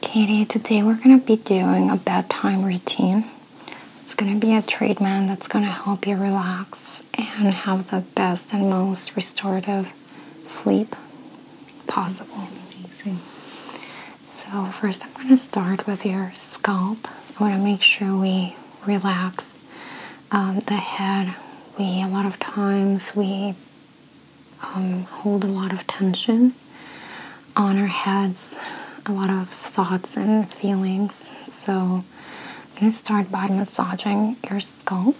Katie, today we're going to be doing a bedtime routine. It's going to be a treatment that's going to help you relax and have the best and most restorative sleep possible. So, first, I'm going to start with your scalp. I want to make sure we relax um, the head. We, a lot of times, we um, hold a lot of tension on our heads, a lot of thoughts and feelings. So I'm going to start by massaging your scalp.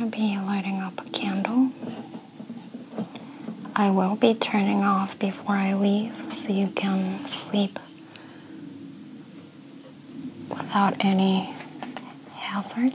I'll be lighting up a candle. I will be turning off before I leave so you can sleep without any hazards.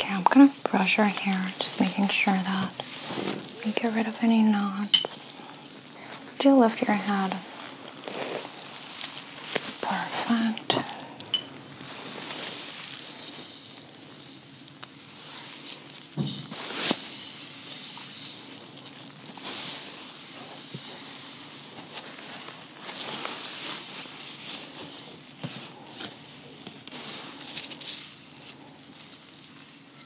Okay, I'm gonna brush her hair, just making sure that we get rid of any knots. Do you lift your head? Perfect.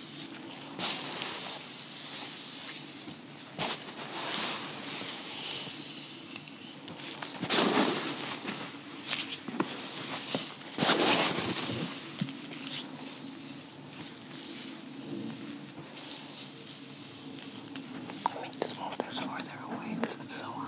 Let me just move this further away because it's so hot.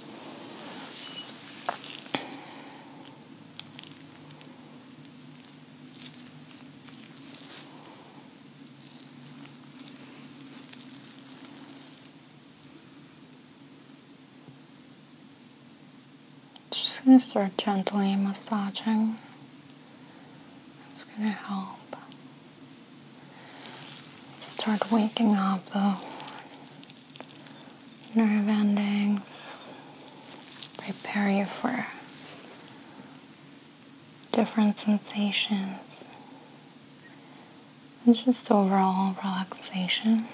Just going to start gently massaging. It's going to help Start waking up the nerve endings, prepare you for different sensations, and just overall relaxation.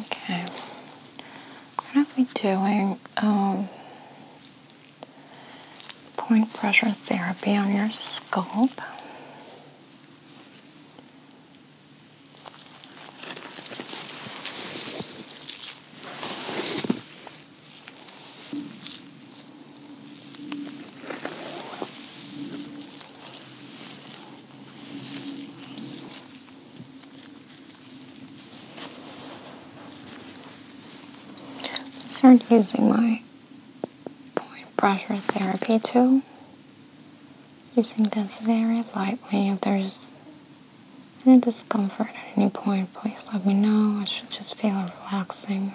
Okay, what are we doing? Um, point pressure therapy on your scalp. Start using my point pressure therapy too. Using this very lightly if there's any discomfort at any point, please let me know. I should just feel relaxing.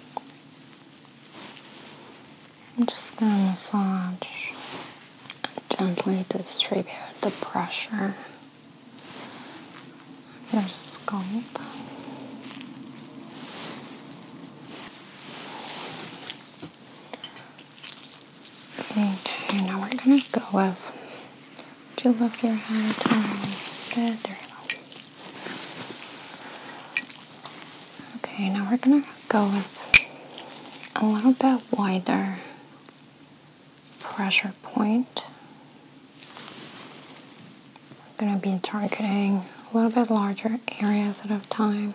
I'm just going to massage gently distribute the pressure of your scalp. Okay, now we're going to go with two of your head. Good, there Okay, now we're gonna go with a little bit wider pressure point. We're gonna be targeting a little bit larger areas at a time.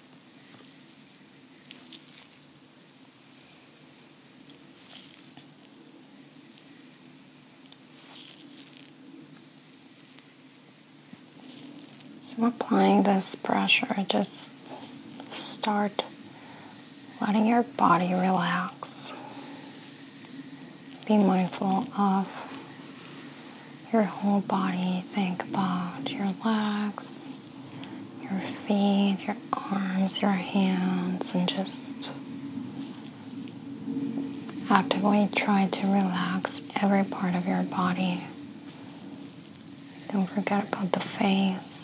So applying this pressure, just start letting your body relax. Be mindful of your whole body. Think about your legs, your feet, your arms, your hands, and just actively try to relax every part of your body. Don't forget about the face.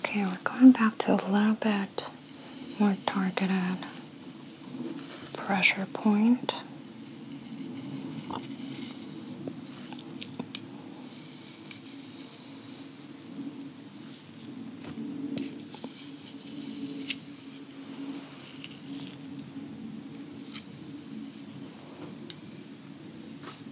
Okay, we're going back to a little bit more targeted pressure point.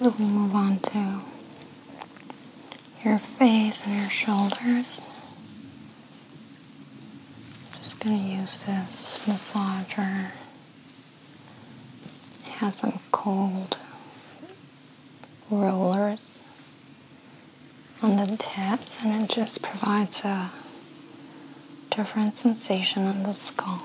We'll move on to your face and your shoulders. Just gonna use this massager. It has some cold rollers on the tips and it just provides a different sensation on the scalp.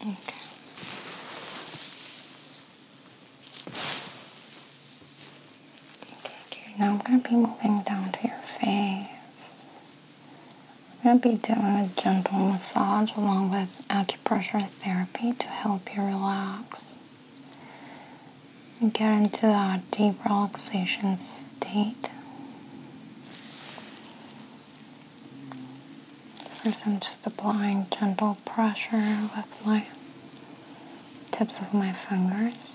Okay. Okay, now I'm going to be moving down to your face. I'm going to be doing a gentle massage along with Pressure therapy to help you relax. and Get into that deep relaxation state. First, I'm just applying gentle pressure with my tips of my fingers.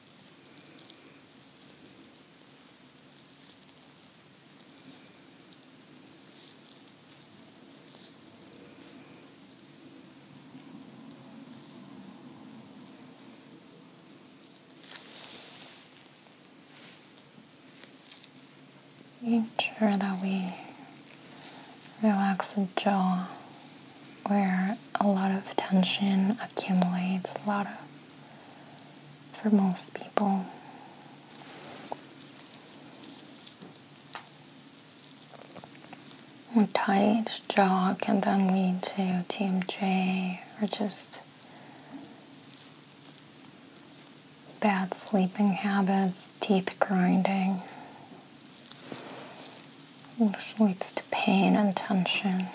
Make sure that we relax the jaw where a lot of tension accumulates, a lot of, for most people. A tight jaw can then lead to TMJ or just bad sleeping habits, teeth grinding, which leads to pain and tension.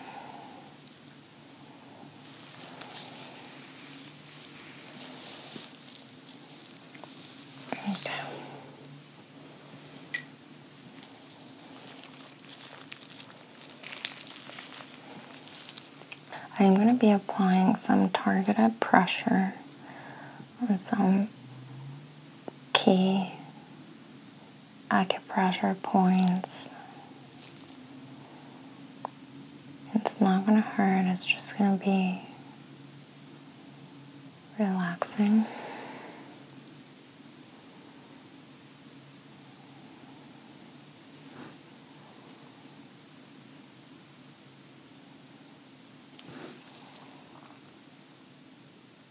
Okay. I'm going to be applying some targeted pressure on some key acupressure points. It's not going to hurt, it's just going to be relaxing.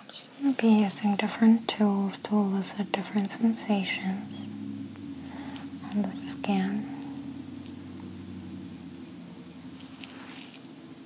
I'm just going to be using different tools to elicit different sensations on the skin.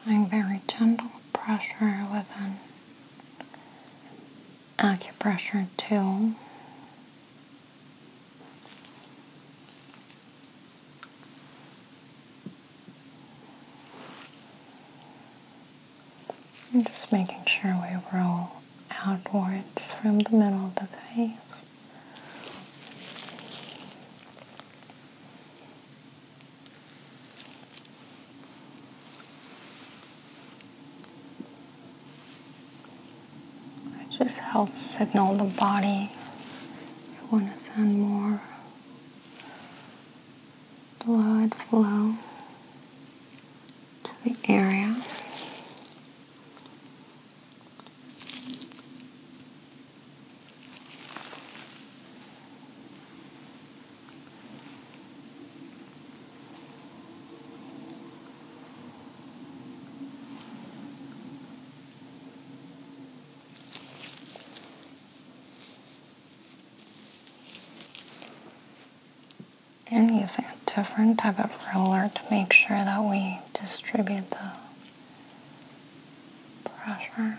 Applying very gentle pressure with an acupressure tool. And just making sure we roll outwards from the middle of the face. It just helps signal the body you want to send more blood flow to the area. And using a different type of roller to make sure that we distribute the pressure.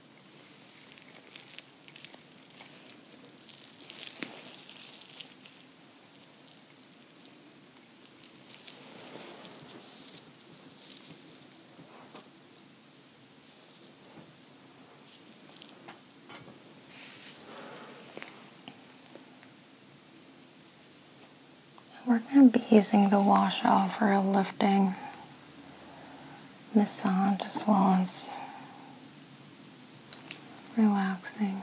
We're going to be using the wash off for a lifting massage as well as relaxing.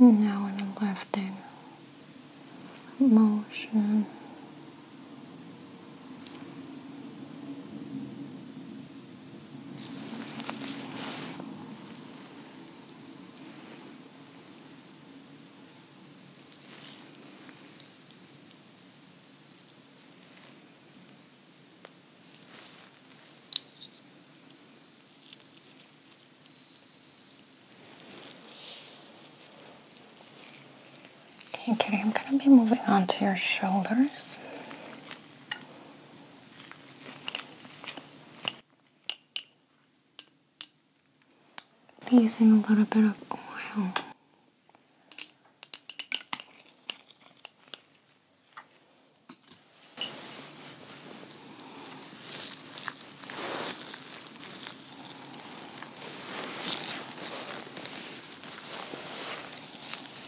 Now I'm lifting motion. Okay, Kitty, I'm going to be moving on to your shoulders. Be using a little bit of oil.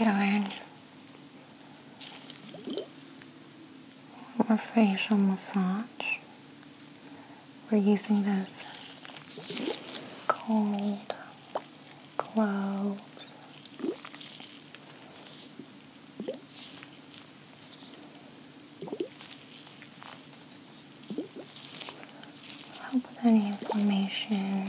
i are you doing more facial massage. We're using this cold cloves. Help with any inflammation.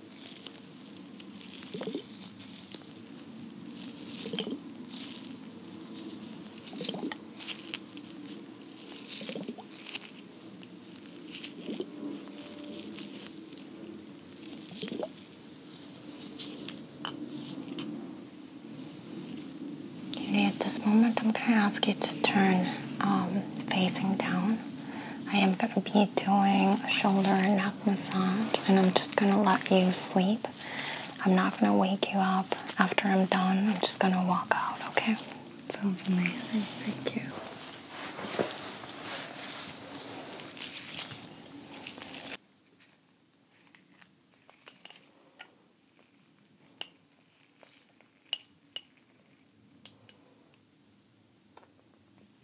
at this moment, I'm going to ask you to turn um, facing down. I am going to be doing a shoulder and neck massage, and I'm just going to let you sleep. I'm not going to wake you up after I'm done. I'm just going to walk out, okay? Sounds amazing. Thank you.